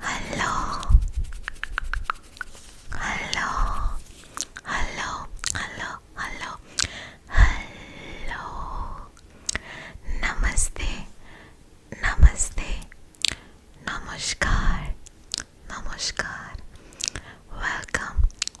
Hello, hello, hello, hello, hello, hello. Namaste, namaste, namaskar, namaskar. Welcome,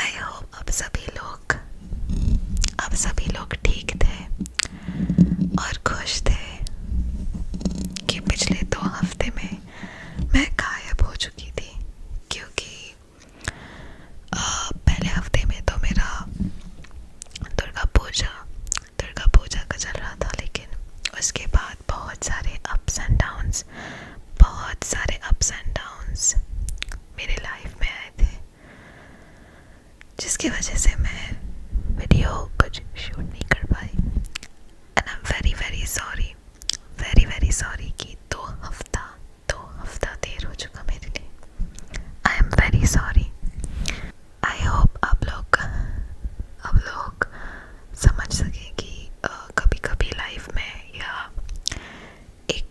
I hope अब सभी लोग अब सभी लोग ठीक थे और खुश थे कि पिछले दो हफ्ते में मैं गायब हो चुकी थी क्योंकि आ, पहले हफ्ते में तो मेरा दुर्गा पूजा दुर्गा पूजा का चल रहा था लेकिन उसके बाद बहुत सारे अप्स एंड डाउन्स बहुत सारे अप्स एंड डाउन्स मेरे लाइफ में आए थे जिसकी वजह से मैं वीडियो कुछ शूट नहीं कर पाई and I am very very sorry very very sorry कि दो हफ्ता दो हफ्ता देर हो चुका मेरे लिए I am very sorry I hope आप लोग समझ सकें कि कभी कभी लाइफ में या एक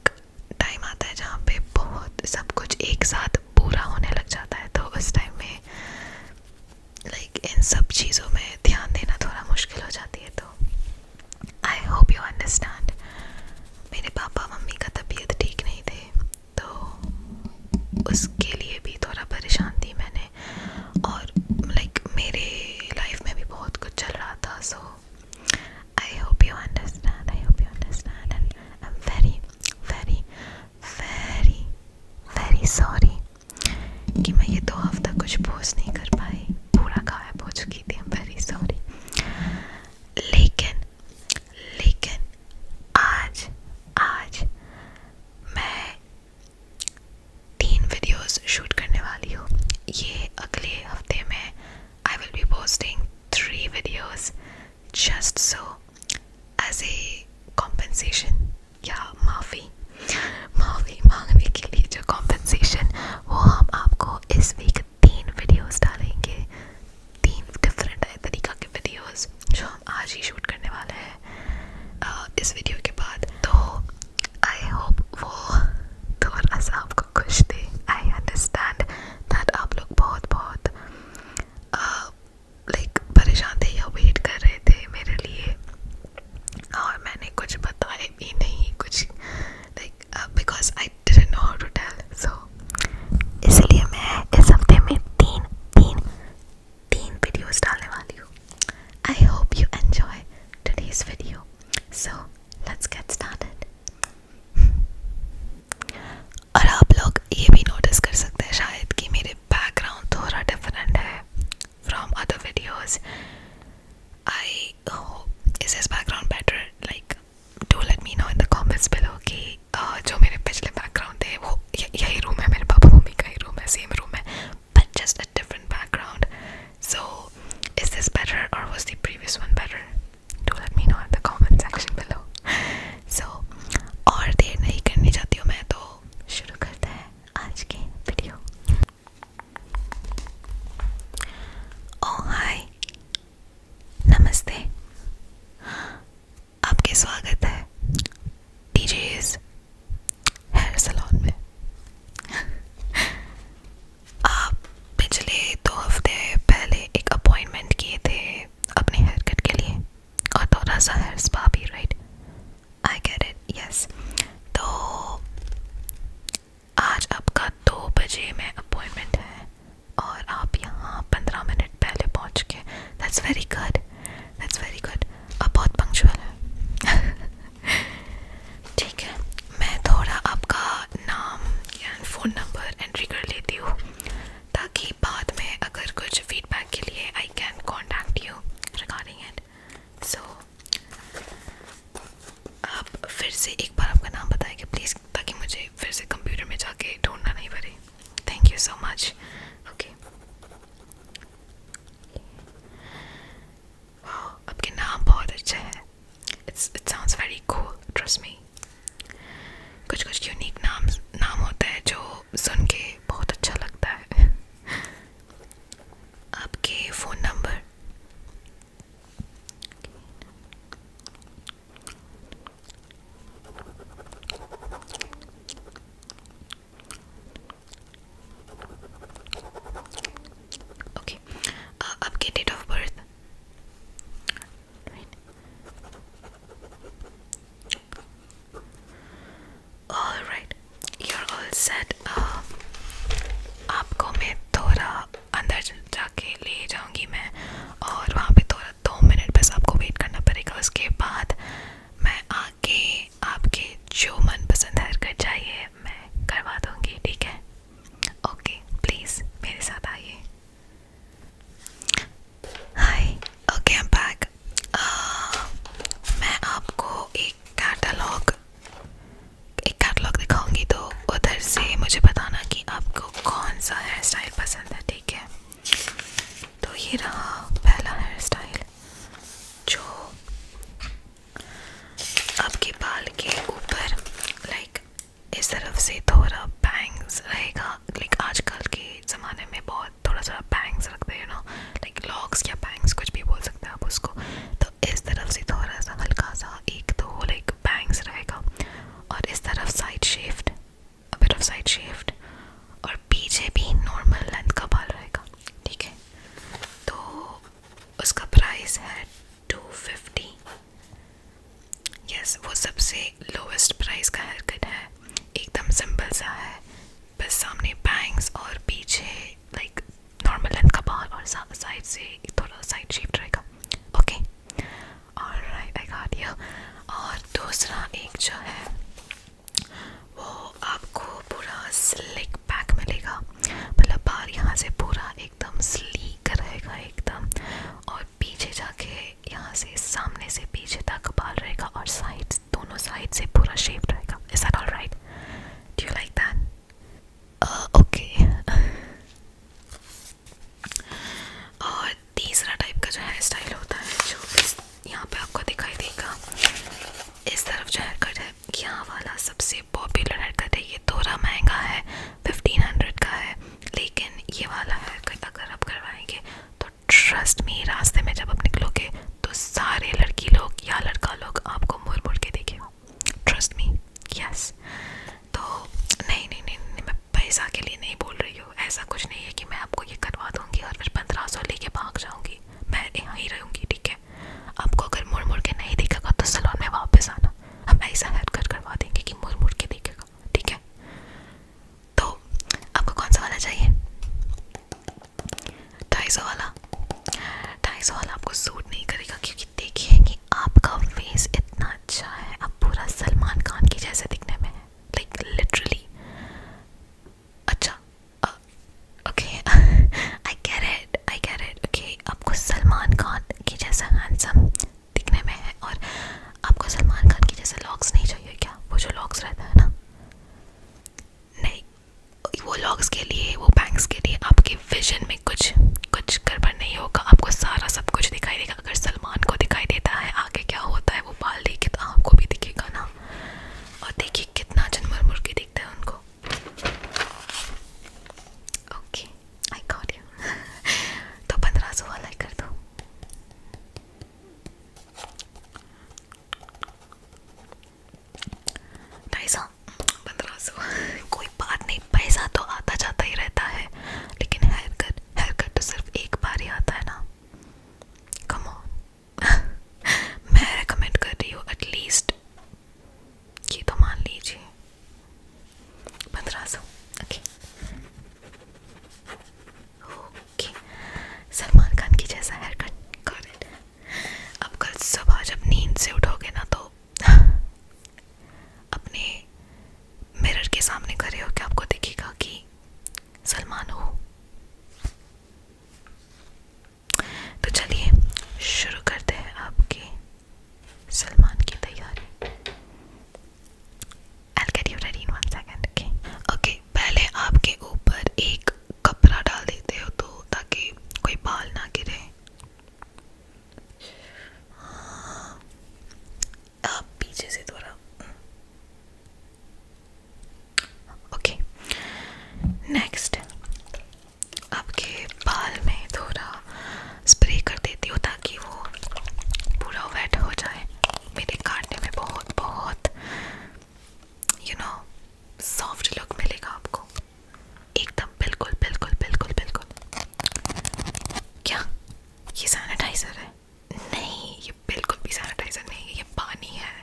टाइम आता है जहाँ पे बहुत सब कुछ एक साथ पूरा होने लग जाता है तो उस टाइम में लाइक इन सब चीज़ों में ध्यान देना थोड़ा मुश्किल हो जाती है तो आई होप यू अंडरस्टैंड मेरे पापा मम्मी का तबीयत ठीक नहीं थे तो उसके लिए भी थोड़ा परेशान थी मैंने और लाइक मेरे लाइफ में भी बहुत कुछ चल रहा था सो I hope you understand. I hope you understand. And I'm very, very, very, very sorry कि मैं ये दो हफ्ता कुछ पोस्ट नहीं कर पाई पूरा गायब हो चुकी थी I'm very sorry. लेकिन लेकिन आज आज मैं तीन वीडियोस शूट करने वाली हूँ ये अगले हफ्ते में I will be posting three videos just so as a compensation या माफ़ी माफ़ी मांगने के लिए जो कॉम्पनसेशन वो हम आपको इस वीक तीन वीडियोस डालेंगे तीन डिफरेंट तरीक़ा के वीडियोस जो हम आज ही शूट करने वाले हैं इस वीडियो के बाद तो आई होप वो थोड़ा सा आपको खुश दे आई अंडरस्टैंड दैट आप लोग बहुत बहुत लाइक परेशान थे या वेट कर रहे थे मेरे लिए और मैंने कुछ बताया भी नहीं कुछ like because I didn't know how to tell so इसलिए मैं इस हफ्ते में तीन तीन तीन वीडियोस डालने वाली हूँ I hope you enjoy today's video so let's get started और आप लोग ये भी नोटिस कर सकते हैं शायद कि मेरे बैकग्राउंड थोड़ा डिफरेंट है from other videos I hope is is background better like do let me know in the comments below कि uh, जो मेरे पिछले बैकग्राउंड थे वो यही रूम है मेरे पापा मम्मी का ही रूम है सेम रूम है but just a different background So, is this better or was the previous one better? Do let me know in the comment section below. So, और देर नहीं करनी चाहती हूँ मैं तो शुरू करते हैं आज के वीडियो. Oh hi, नमस्ते. आपके स्वागत है DJ's हेयर सैलून में. आप पिछले दो हफ्ते पहले एक अपॉइंटमेंट किए थे अपने हेयर कट के लिए और थोड़ा सा हेयर स्पा भी right I get it yes तो आज आपका दो बजे में अपॉइंटमेंट है और आप यहाँ पंद्रह मिनट पहले पहुँच के that's very good that's very good आप बहुत पंक्चुअल हैं ठीक है मैं थोड़ा आपका नाम एंड फ़ोन नंबर एंट्री कर लेती हूँ ताकि बाद में अगर कुछ फीडबैक के लिए I can contact you regarding it so आप फिर से एक बार आपका नाम बताएंगे प्लीज़ ताकि मुझे फिर से कंप्यूटर में जाके ढूंढना नहीं पड़े thank you so much okay आपके नाम बहुत अच्छे हैं it's it sounds very cool trust me कुछ कुछ यूनिक नाम नाम होते हैं जो सुन के बहुत अच्छा लगता है आपके phone number okay okay uh, आपकी date of birth all right you are all set आपको मैं थोड़ा अंदर जाके ले जाऊंगी मैं और वहाँ पे थोड़ा दो मिनट बस आपको वेट करना पड़ेगा उसके बाद मैं आके आपके जो मनपसंद हरकत चाहिए मैं करवा दूंगी ठीक है ओके प्लीज़ मेरे साथ आइए hi okay I am back मैं आपको एक कैटलॉग एक कैटलॉग दिखाऊंगी तो उधर से मुझे बताना कि आपको कौन सा हेयर स्टाइल पसंद है ठीक है तो ये रहा पहला हेयर स्टाइल जो आपके बाल के ऊपर लाइक इस तरफ से थोड़ा बैंग्स रहेगा लाइक आजकल के ज़माने में बहुत थोड़ा थोड़ा बैंग्स रखते हैं ना लाइक लॉक्स या बैंग्स कुछ भी बोल सकते हैं आप उसको तो इस तरफ से थोड़ा सा हल्का सा एक तो लाइक बैंग्स रहेगा और इस तरफ side shaped a bit off side shaped और पीछे भी नॉर्मल लेंथ का बाल रहेगा ठीक है तो उसका प्राइस है 250 यस yes, वो सबसे लोवेस्ट प्राइस का हेयरकट है एकदम सिंपल सा है बस सामने बैंग्स और पीछे लाइक नॉर्मल लेंथ का बाल और साइड से थोड़ा साइड शेप रहेगा ओके और आई गॉट यू और दूसरा एक जो है वो आपको पूरा स्लिक पैक मिलेगा मतलब बाल यहाँ से पूरा एकदम स्लीक रहेगा एकदम और पीछे जाके यहाँ से सामने से पीछे तक बाल रहेगा और साइड दोनों साइड से पूरा शेप रहेगा is that all right do you like that okay और तीसरा टाइप का जो हेयर स्टाइल होता है जो यहाँ पे आपको दिखाई देगा इस तरफ जो हेयर कट है यहाँ वाला सबसे पॉपुलर हरकत है ये थोड़ा महंगा है 1500 का है लेकिन ये वाला हरकत अगर आप करवाएंगे तो ट्रस्ट में रास्ते में जब आप निकलोगे तो सारे लड़की लोग या लड़का लोग आपको मुड़ मुड़ के देखेगा ट्रस्ट मी यस तो नहीं नहीं नहीं, नहीं मैं पैसा के लिए नहीं बोल रही हूँ ऐसा कुछ नहीं है कि मैं आपको ये करवा दूँगी और फिर पंद्रह सौ लेके भाग जाऊँगी मैं यहाँ ही रहूँगी ठीक है आपको अगर मुड़ मुड़ के नहीं दिखेगा तो सलोन में वापस आना हम ऐसा हेयर कट करवा देंगे कि मुड़ मुड़ के दिखेगा ठीक है तो आपको कौन सा वाला चाहिए ढाई सौ वाला ढाई सौ वाला आपको सूट नहीं करेगा क्योंकि देखिए कि आपका फेस इतना अच्छा है आप पूरा सलमान खान की जैसे दिखने में है लाइक like, लिटरली अच्छा okay I get it I get it okay आपको सलमान खान के जैसा हैंडसम दिखने में है और आपको सलमान खान के जैसे लॉक्स नहीं चाहिए क्या वो जो लॉक्स रहता है ना नहीं वो लॉक्स के लिए वो बैंक्स के लिए आपके विजन में कुछ कुछ गड़बड़ नहीं होगा आपको सारा सब कुछ दिखाई देगा अगर सलमान को दिखाई देता है आगे क्या होता है वो बाल देखे तो आपको भी दिखेगा ना और देखिए कितना जन मुर्गी दिखता है उनको ओके आई गॉट यू तो पंद्रह सौ वाला कर दो ढाई सौ पंद्रह सौ कोई बात नहीं पैसा तो आता जाता ही रहता है लेकिन हेयर कट हेयर कट तो सिर्फ एक बार ही आता है ना कम ऑन मैं रेकमेंड कर रही हूँ एटलीस्ट ये तो मान लीजिए पंद्रह सौ ओके ओके सलमान खान की जैसा हेयर कट कर अब कल सुबह जब नींद से उठोगे ना तो अपने मिरर के सामने खड़े हो के आपको दिखेगा कि सलमान हो तो चलिए शुरू करते हैं आपके सलमान की तैयारी I'll get you ready in one second, okay? Okay, पहले आपके ऊपर एक कपड़ा डाल देते हो तो ताकि कोई बाल ना गिरे आप पीछे से थोड़ा ओके नेक्स्ट आपके बाल में थोड़ा स्प्रे कर देती हूँ ताकि वो पूरा वेट हो जाए मेरे काटने में बहुत बहुत यू नो सॉफ्ट लुक मिलेगा आपको एकदम बिल्कुल बिल्कुल बिल्कुल बिल्कुल क्या ये सैनिटाइज़र है नहीं ये बिल्कुल भी सैनिटाइज़र नहीं है ये पानी है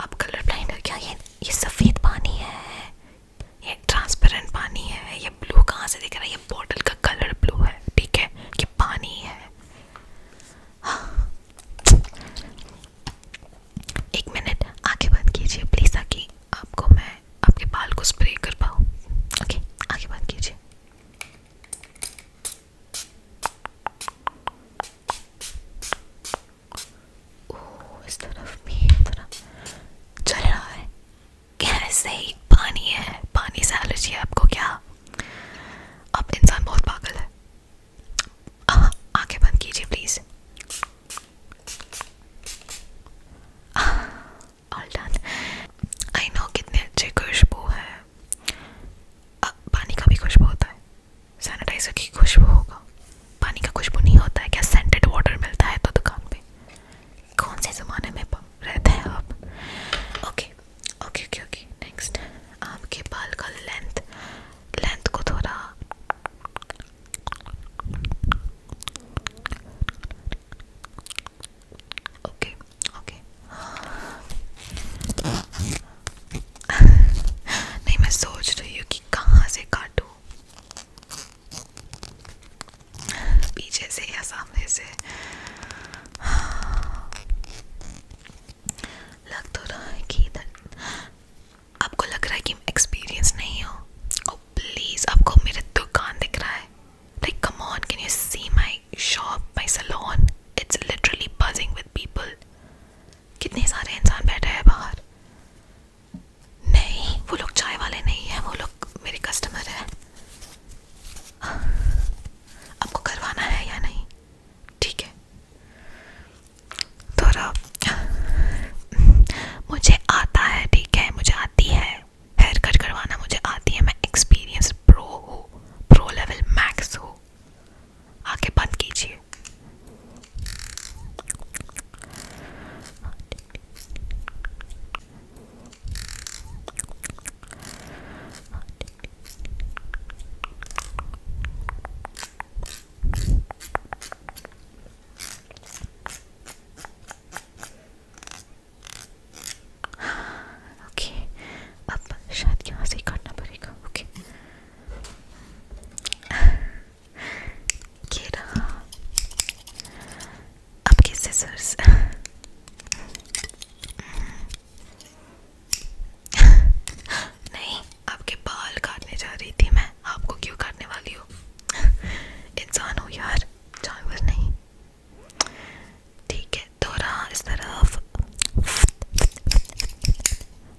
आप कलर ब्लाइंड हो क्या ये ये सफ़ेद पानी है ये ट्रांसपेरेंट पानी है ये ब्लू कहाँ से दिख रहा है ये बॉटल का कलर ब्लू है ठीक है ये पानी है हाँ। एक मिनट आगे बंद कीजिए प्लीज़ ताकि आपको मैं आपके बाल को स्प्रे कर पाऊँ ओके आगे बंद कीजिए ओह इस तरफ भी थोड़ा चल रहा है कैसे ही पानी है पानी से एलर्जी है आपको क्या अब इंसान बहुत पागल है आंखें बंद कीजिए please all done I know कितने अच्छे खुशबू है आ, पानी का भी खुशबू होता है सैनिटाइजर की खुशबू होगा पानी का खुशबू नहीं होता है क्या सेंटेड वाटर मिलता है तो दुकान पे कौन से ज़माने में रहते हैं आप okay okay okay okay next आपके बाल का लेंथ लेंथ को थोड़ा ओके ओके नहीं मैं सोच रही हूँ कि कहाँ से काटूँ पीछे से या सामने से लग तो रहा है कि इधर आपको लग रहा है कि एक्सपीरियंस नहीं हो ओ oh, प्लीज़ आपको मेरा दुकान दिख रहा है like come on can you see my shop my salon it's literally buzzing with people कितने सारे इंसान बैठे हैं बाहर नहीं वो लोग चाय वाले नहीं हैं वो लोग मेरे कस्टमर हैं आपको करवाना है या नहीं ठीक है थोड़ा मुझे आता है ठीक है मुझे आती है हेयर कट करवाना मुझे आती है मैं एक्सपीरियंस प्रो हो प्रो लेवल मैक्स हो आंखें बंद कीजिए ओके अब शायद यहाँ से ही करना पड़ेगा okay Get up. Up get scissors. नहीं आपके बाल काटने जा रही थी मैं आपको क्यों काटने वाली हूँ इंसान हो यार जानवर नहीं ठीक है तो रहा इस तरफ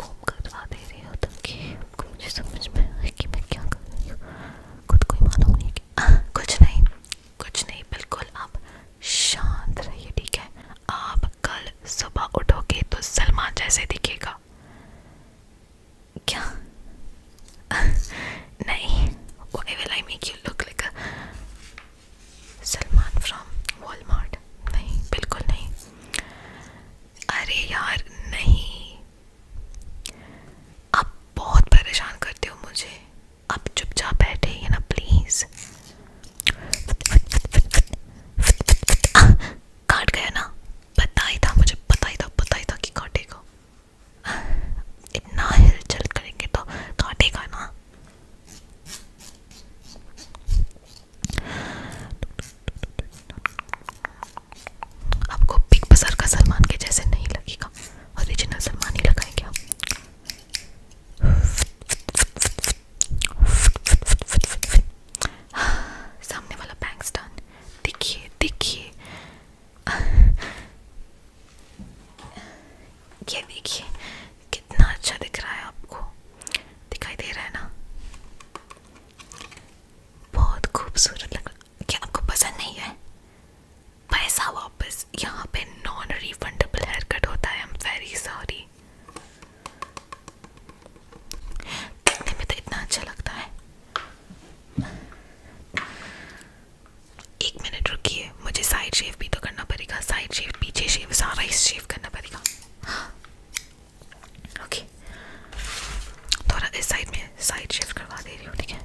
घूम करवा दे रही हो ताकि आपको मुझे समझ में आए कि मैं क्या कर रही हूँ खुद को ही मालूम नहीं कि आ, कुछ नहीं कुछ नहीं बिल्कुल आप शांत रहिए ठीक है आप कल सुबह उठोगे तो सलमान जैसे दिखेगा क्या नहीं why will I make you look like a Salman from Walmart नहीं बिल्कुल नहीं अरे यार नहीं आप बहुत परेशान करते हो मुझे आप चुपचाप बैठे हैं ना प्लीज़ काट गया ना पता ही था मुझे पता ही था पता ही था कि काटेगा इतना हिलचल करेंगे तो काटेगा ना आपको बिग बाजार का सलमान के जैसे नहीं लगेगा ओरिजिनल सलमान ही लगाएंगे आप सामने वाला बैंक स्टैंड देखिए देखिए ये देखिए कितना अच्छा दिख रहा है आपको दिखाई दे रहा है ना बहुत खूबसूरत नहीं तो अच्छा है एक मिनट रुकिए मुझे साइड शेव भी तो करना पड़ेगा साइड शेव पीछे शेव सारा इस शेव करना पड़ेगा हाँ ओके थोड़ा इस साइड में साइड शिफ्ट करवा दे रही हूँ ठीक है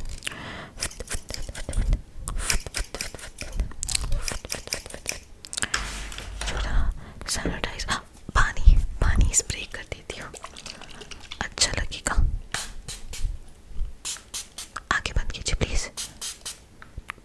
थोड़ा सैनिटाइज हाँ पानी पानी स्प्रे कर देती हूँ अच्छा लगेगा आगे बंद कीजिए प्लीज़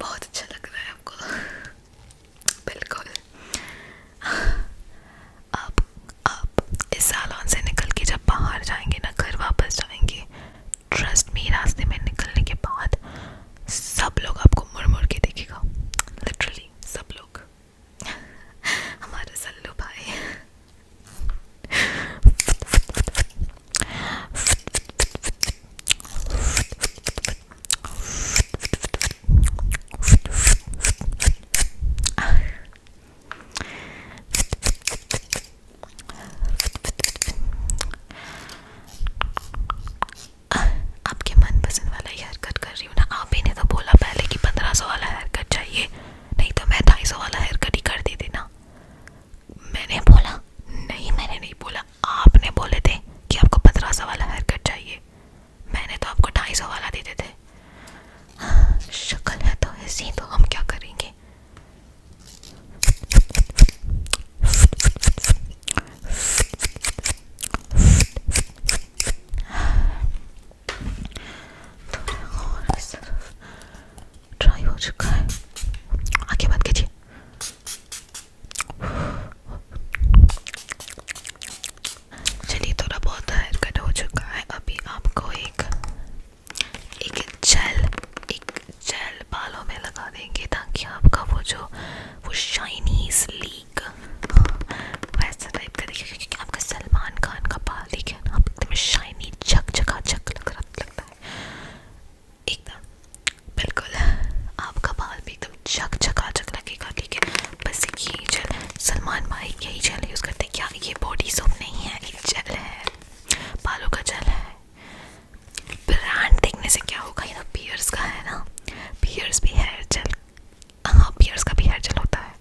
बहुत अच्छा लग रहा है आपको बिल्कुल आप आप इस सालों से निकल के जब बाहर जाएंगे ना घर वापस जाएंगे ट्रस्ट मी रास्ते में निकलने के बाद सब लोग आपको मुड़ मुड़ के देखेगा लिटरली सब लोग हमारे सल्लू भाई आपके मनपसंद वाला हेयर कट कर रही हूँ ना आप ही ने तो बोला पहले कि पंद्रह सौ वाला हेयर कट चाहिए नहीं तो मैं ढाई सौ वाला हेयर कट ही कर देती ना मैंने बोला नहीं मैंने नहीं बोला आपने बोले थे कि आपको पंद्रह सौ वाला हेयर कट चाहिए मैंने तो आपको ढाई सौ वाला देते थे शक्ल है तो ऐसी तो हम क्या करेंगे थोड़ा और चलिए थोड़ा बहुत हेयर हो चुका है अभी आपको एक एक बालों में लगा देंगे ताकि आपका वो जो वो शाइनी यूनिक वैसा टाइप का देखिए क्योंकि आपका सलमान खान का बाल देखिए ना आप एकदम शाइनी झक झका झक लग रहा लगता है एकदम बिल्कुल आपका बाल भी एकदम झक झका झक लगेगा ठीक है बस यही जेल सलमान भाई यही जेल यूज़ करते हैं क्या ये बॉडी सोप नहीं है ये जेल है बालों का जेल है ब्रांड देखने से क्या होगा ये तो पियर्स का है ना पियर्स भी हेयर जेल हाँ पियर्स का भी हेयर जेल होता है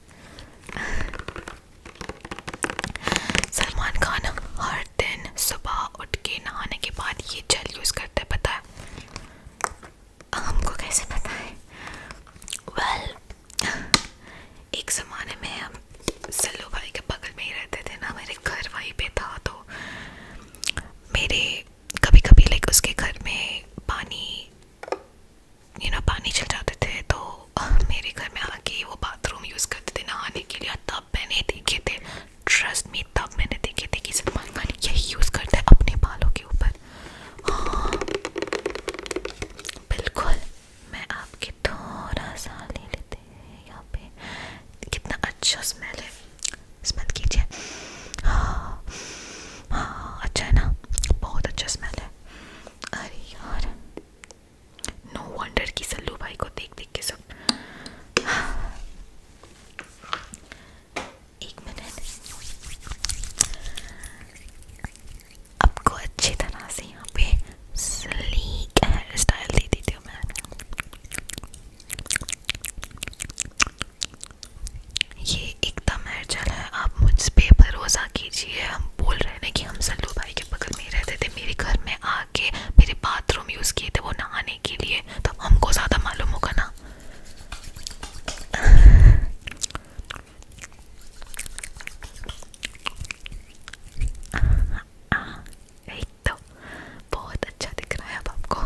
सलमान खान हर दिन सुबह उठ के नहाने के बाद ये जेल यूज़ करते हैं पता है हमको कैसे पता है वेल well, एक ज़माने में हम सल्लू भाई के बगल में ही रहते थे ना मेरे घर वहीं पे था तो मेरे कभी कभी लाइक उसके घर में पानी यू नो पानी चल जाते थे तो मेरे घर में आके वो बाथरूम यूज़ करते थे नहाने के लिए तब मैंने देखे थे ट्रस्ट मी तब मैंने देखे थे कि सलमान खान यही यूज़ करता है अपने बालों के ऊपर हाँ बिल्कुल मैं आपके थोड़ा सा ले लेते हैं यहाँ पे कितना अच्छा स्मेल है स्मेल कीजिए हाँ हाँ अच्छा है ना बहुत अच्छा स्मेल है अरे यार नो no वंडर की सल्लू भाई को देख देख के सब एक मिनट आपको अच्छी तरह से यहाँ पे स्लीक हेयर स्टाइल दे देती हूँ मैं ये एकदम हलचल है आप मुझ पर भरोसा कीजिए हम बोल रहे हैं कि हम सल्लू भाई के बगल में ही रहते थे मेरे घर में आके मेरे बाथरूम यूज़ किए थे वो नहाने के लिए तो हमको ज़्यादा मालूम होगा ना एक तो बहुत अच्छा दिख रहा है अब आपको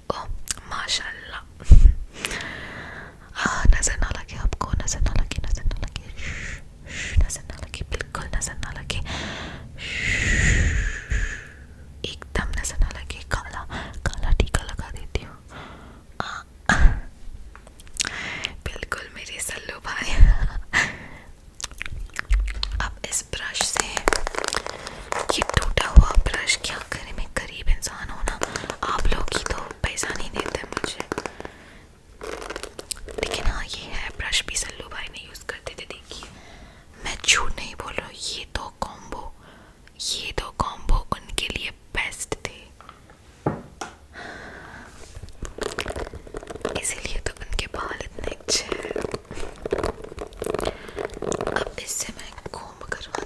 ओ माशाल्लाह नज़र ना लगे आपको नज़र ना लगे नज़र ना लगे नज़र ना लगे बिल्कुल नज़र ना लगे एकदम नज़र ना लगे काला काला टीका लगा देती हूँ बिल्कुल मेरे सल्लू भाई अब इस ब्रश से ये टूटा हुआ ब्रश क्या करें में गरीब इंसान हो ना आप लोग ही तो पैसा नहीं देते मुझे लेकिन हाँ ये है ब्रश भी सल्लू भाई ने यूज़ करते थे देखिए मैं झूठ नहीं बोल रहा ये दो तो कॉम्बो ये दो तो कॉम्बो उनके लिए बेस्ट थे इसीलिए तो उनके बाल इतने अच्छे हैं अब इससे मैं कॉम्ब करवा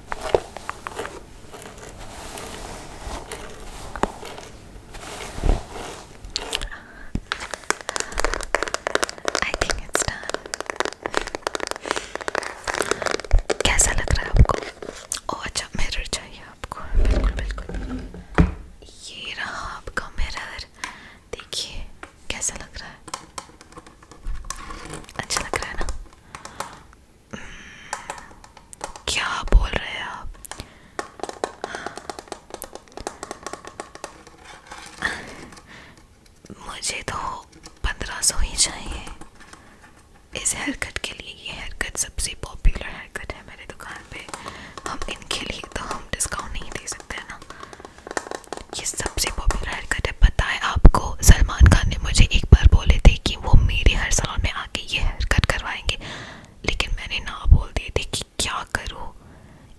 I think it's done. कैसा लग रहा है आपको? ओह अच्छा मिरर चाहिए आपको बिल्कुल बिल्कुल ये रहा आपका मिरर देखिए कैसा लग रहा है अच्छा लग रहा है ना क्या बोल रहे हैं आप मुझे तो पंद्रह सौ ही चाहिए इस हेयरकट के लिए ये हेयरकट सबसे पॉपुलर हेयरकट है मेरे दुकान पे हम इनके लिए तो हम डिस्काउंट नहीं दे सकते ना ये सबसे पॉपुलर हेयरकट है पता है आपको सलमान खान ने मुझे एक बार बोले थे कि वो मेरे हेयर सलॉन में आके ये हेयर कट करवाएंगे लेकिन मैंने ना बोल दिए थे कि क्या करूँ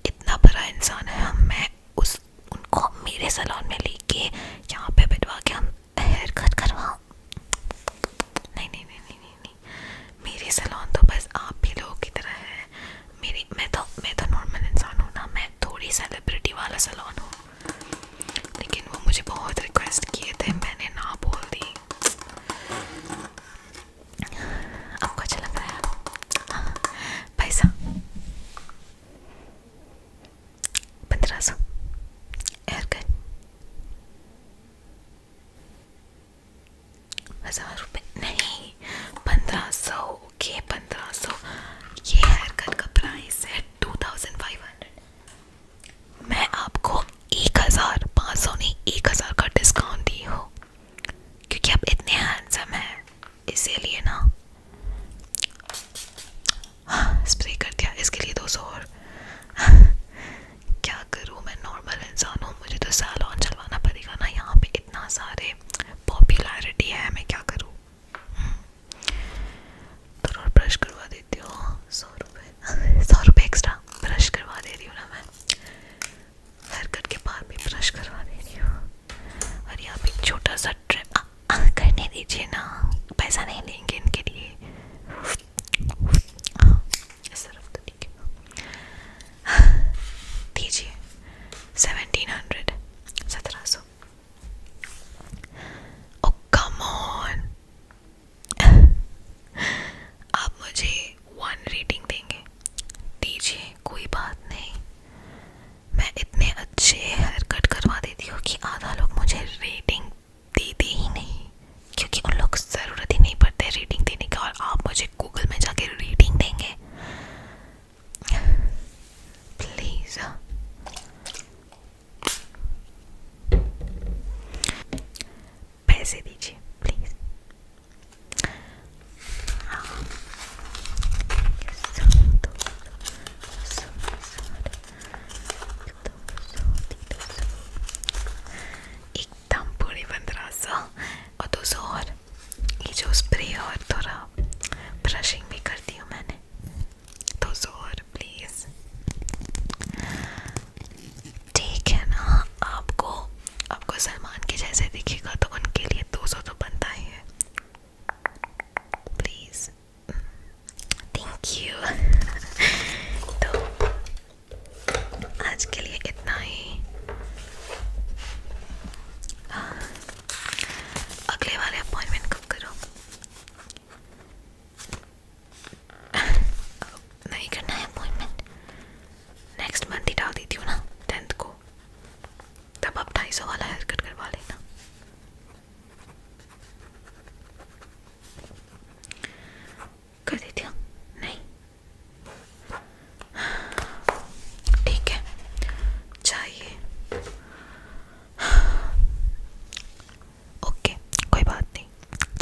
इतना बड़ा इंसान है मैं उस उनको मेरे सलॉन में लेके यहाँ पे बैठवा के हम हेयर कट करवाऊँ नहीं मेरे सलॉन तो बस आप भी लोगों की तरह है मेरी मैं तो मैं तो नॉर्मल इंसान हूँ ना मैं थोड़ी सेलिब्रिटी वाला सलॉन हूँ लेकिन वो मुझे बहुत रिक्वेस्ट किए थे मैंने ना बोल दी आपको अच्छा लग रहा है पैसा हाँ, पंद्रह सौ एयर कट हजार रुपये नहीं पंद्रह सौ ओके पंद्रह सौ ये हेयर कट का प्राइस है टू थाउजेंड फाइव हंड्रेड मैं आपको एक हज़ार पाँच सौ नहीं एक हज़ार का डिस्काउंट दी हो क्योंकि आप इतने हैंडसम हैं इसीलिए ना स्प्रे हाँ, कर दिया इसके लिए दो सौ और क्या करूँ मैं नॉर्मल इंसान हूँ मुझे तो सैलॉन चलवाना पड़ेगा ना यहाँ पे इतना सारे पॉपुलैरिटी है मैं क्या करूँ थोड़ा ब्रश करवा देती हूँ सौ रुपये सौ रुपये एक्स्ट्रा ब्रश करवा दे रही हूँ ना मैं हेयर कट के बाद भी ब्रश करवा दे रही हूँ और यहाँ पे छोटा सा ट्रिप आ, आ, करने दीजिए ना पैसा नहीं लेंगे इनके लिए इस तरफ तो ठीक है दीजिए सेवेंटीन हंड्रेड सत्रह सौ Oh come on आप मुझे वन रेटिंग देंगे दीजिए कोई बात नहीं मैं इतने अच्छे हेयर कट करवा देती हूँ कि आधा लोग मुझे रेटिंग देते ही नहीं क्योंकि उन लोग ज़रूरत ही नहीं पड़ते रेटिंग देने का और आप मुझे गूगल में जाके रेटिंग देंगे प्लीज़ पैसे दीजिए प्लीज एकदम पूरे पंद्रह सौ और दो सौ और ये जो स्प्रे और थोड़ा ब्रशिंग भी करती हूँ मैंने तो जोर प्लीज ठीक है ना आपको आपको सलमान के जैसे दिखेगा तो उनके लिए 200 तो बनता ही है प्लीज थैंक यू तो आज के लिए इतना ही हाँ, अगले वाले अपॉइंटमेंट कब करो नहीं करना है अपॉइंटमेंट नेक्स्ट मंथ ही डाल देती हूँ ना टेंथ को तब आप ढाई सौ वाला हेयर कट करवा लेना कर देती हूँ नहीं ठीक है चाहिए ओके कोई बात नहीं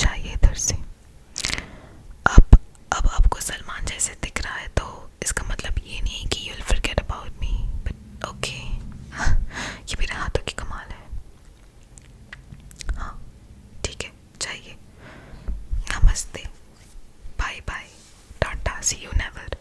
चाहिए इधर से अब अब आपको सलमान जैसे दिख रहा है तो इसका मतलब ये नहीं कि you will forget about me but okay ये मेरे हाथों की कमाल है हाँ ठीक है चाहिए नमस्ते bye bye tata see you never